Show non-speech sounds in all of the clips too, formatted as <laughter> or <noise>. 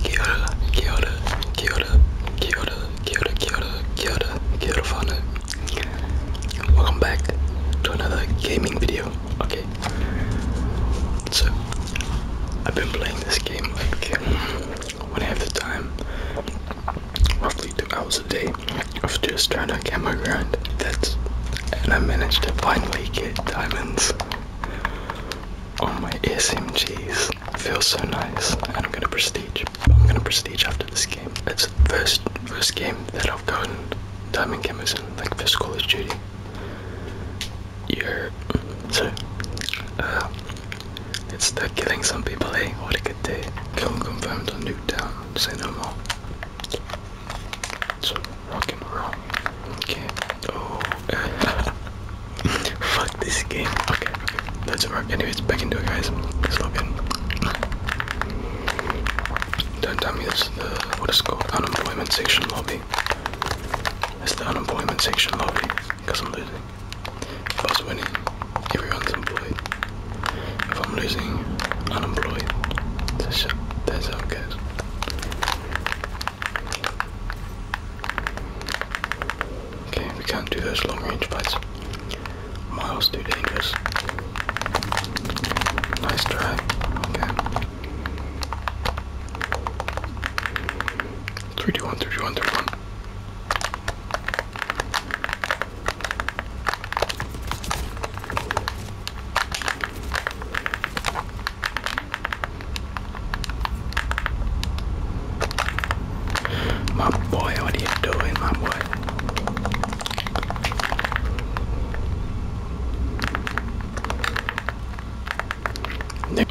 Kia ora, kia ora, kia ora, kia ora, kia ora, kia ora, kia ora, kia ora whānau. Welcome back to another gaming video. Okay. So, I've been playing this game like when I have the time, roughly two hours a day of just trying to get my grind. That's and I managed to finally get diamonds on my SMGs feels so nice. And I'm gonna prestige. I'm gonna prestige after this game. It's the first first game that I've gotten Diamond Cameras in, like first Call of Duty. Yeah. So uh, it's the killing some people, Hey, eh? What a good day. Film confirmed on Nuketown, say no more. So rock and roll. Okay. Oh. <laughs> Fuck this game. Okay. Let's work. Anyways, back into it, guys. Let's log Don't tell me this is the what is called unemployment section lobby. It's the unemployment section lobby because I'm losing. Boss winning, everyone's employed. If I'm losing, unemployed. That's, that's how it Okay, we can't do those long range fights. Miles too dangerous. Nice try. Okay. Three, two, one. 2 my boy, what are you doing, my boy?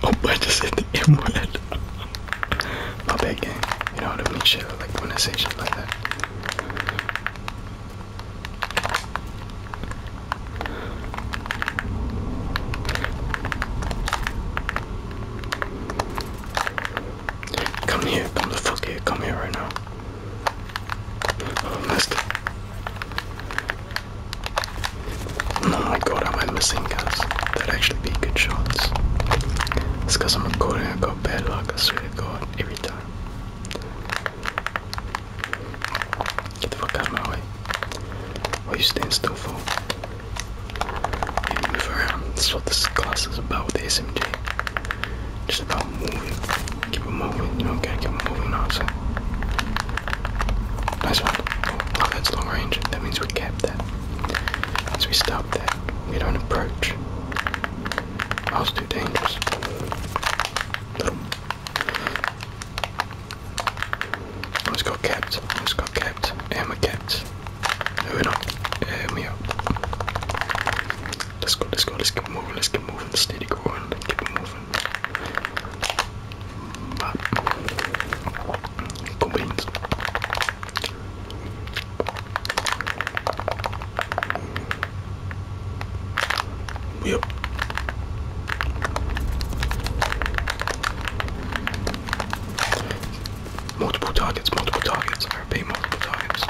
Oh, I just said the <laughs> M my bad game. You know what I mean? like when I say shit like that. Come here, come the fuck here, come here right now. Oh, Oh my god, am I missing guys? That'd actually be good shots. It's cause I'm a recording, I got bad luck, I swear to god, every time. Get the fuck out of my way. Why are you stand still for? move around. That's what this class is about with the SMG. Just about moving. Keep it moving. You know, gotta keep it moving, honestly. Nice one. Oh, that's long range. That means we kept that. Once we stop that, we don't approach. That was too dangerous. Let's go kept. Let's go kept. Emma kept. Moving up. Emma up. Let's go, let's go, let's keep moving, let's keep moving, steady going, let's keep moving. But combines. Multiple targets, multiple targets. I repeat, multiple targets.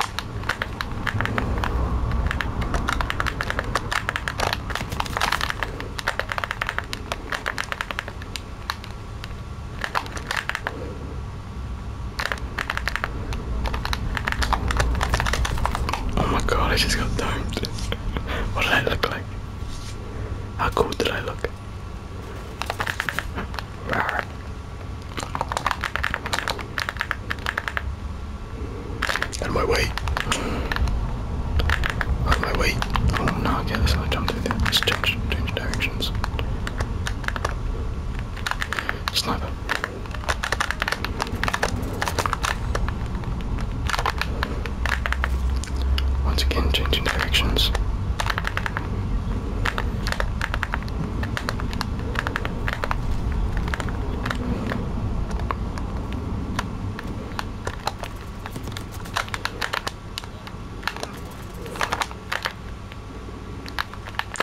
Oh my god, I just got domed. <laughs> what did that look like? How cool did I look? Out of my way! Out of my way. Oh no, I get this. I jumped through there. Let's change, change directions. Sniper. Once again, changing directions.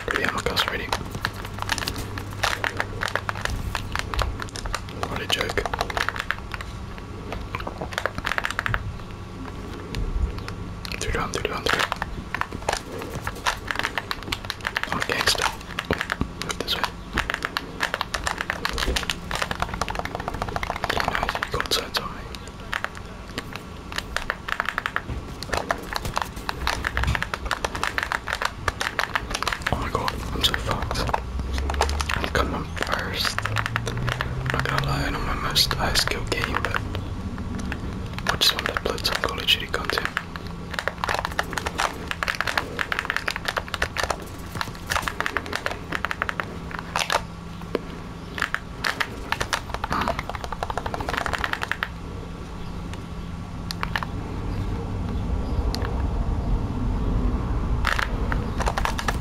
Pretty amicus already. What a joke. Through down, through through. Oh, gangsta. Move this way. Nice, go inside, Oh my god, I'm so fucked. I'm coming first. i I'm Not gonna lie, i know my most high skill game, but I just want to upload some Call of content.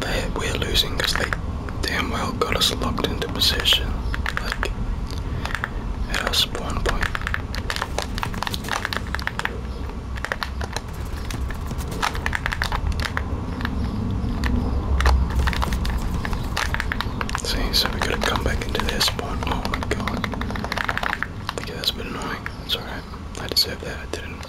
that we're losing because they damn well got us locked into position like at our spawn point. See, so we gotta come back into their spawn. Oh my god. Okay, that's a bit annoying. It's alright. I deserve that. I didn't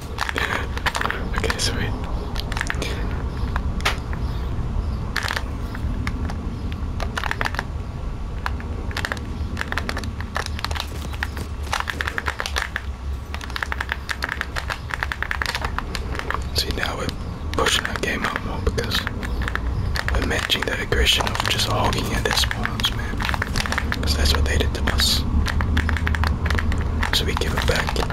okay, sweet. See now we're pushing our game up more because we're matching the aggression of just hogging at their spawns, man. Because that's what they did to us. So we give it back.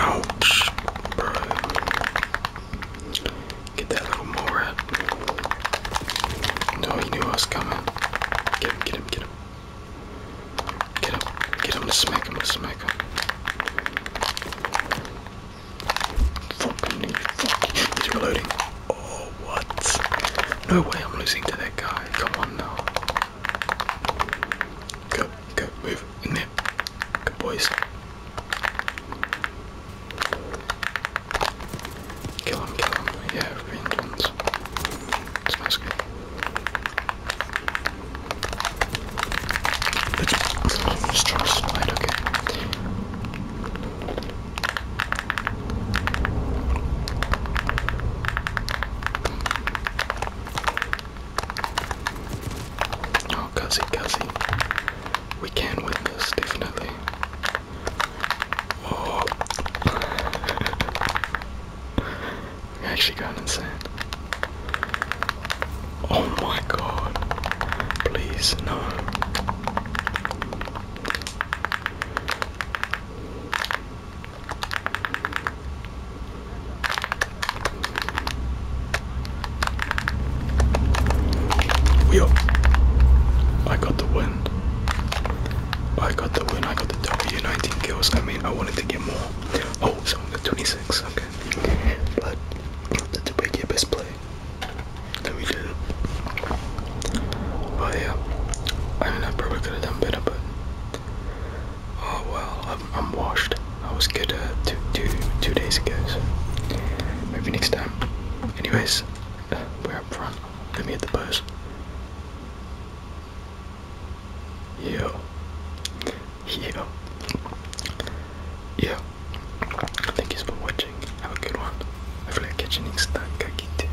Ouch, Get that little mole No, he knew I was coming. Get him, get him, get him. Get him, get him to smack him, to smack him. Fucking, fucking. He's reloading. Oh, what? No way I'm losing to that guy. Come on now. Go, go, move in there. Good boys. Kill him, kill him. Yeah, vengeance. Smells good. Let's, let's try to slide, okay. Oh, Guzzy, Guzzy. We can win this, definitely. Oh. I'm <laughs> actually going insane. Oh my god. Please, no. Yo, I got the win. I got the win. I got the W. 19 kills. I mean, I wanted to get more. Oh, so I'm at 26. Okay, but that's a break your best play. That we did. But yeah, I mean, I probably could have done better, but Oh well, I'm, washed. I was good uh, two, two, two days ago, maybe next time. Anyways, uh, we're up front. Let me hit the post. Yo. Yo. Yo. Thank you for watching. Have a good one. Hopefully I catch you next time. Kakite.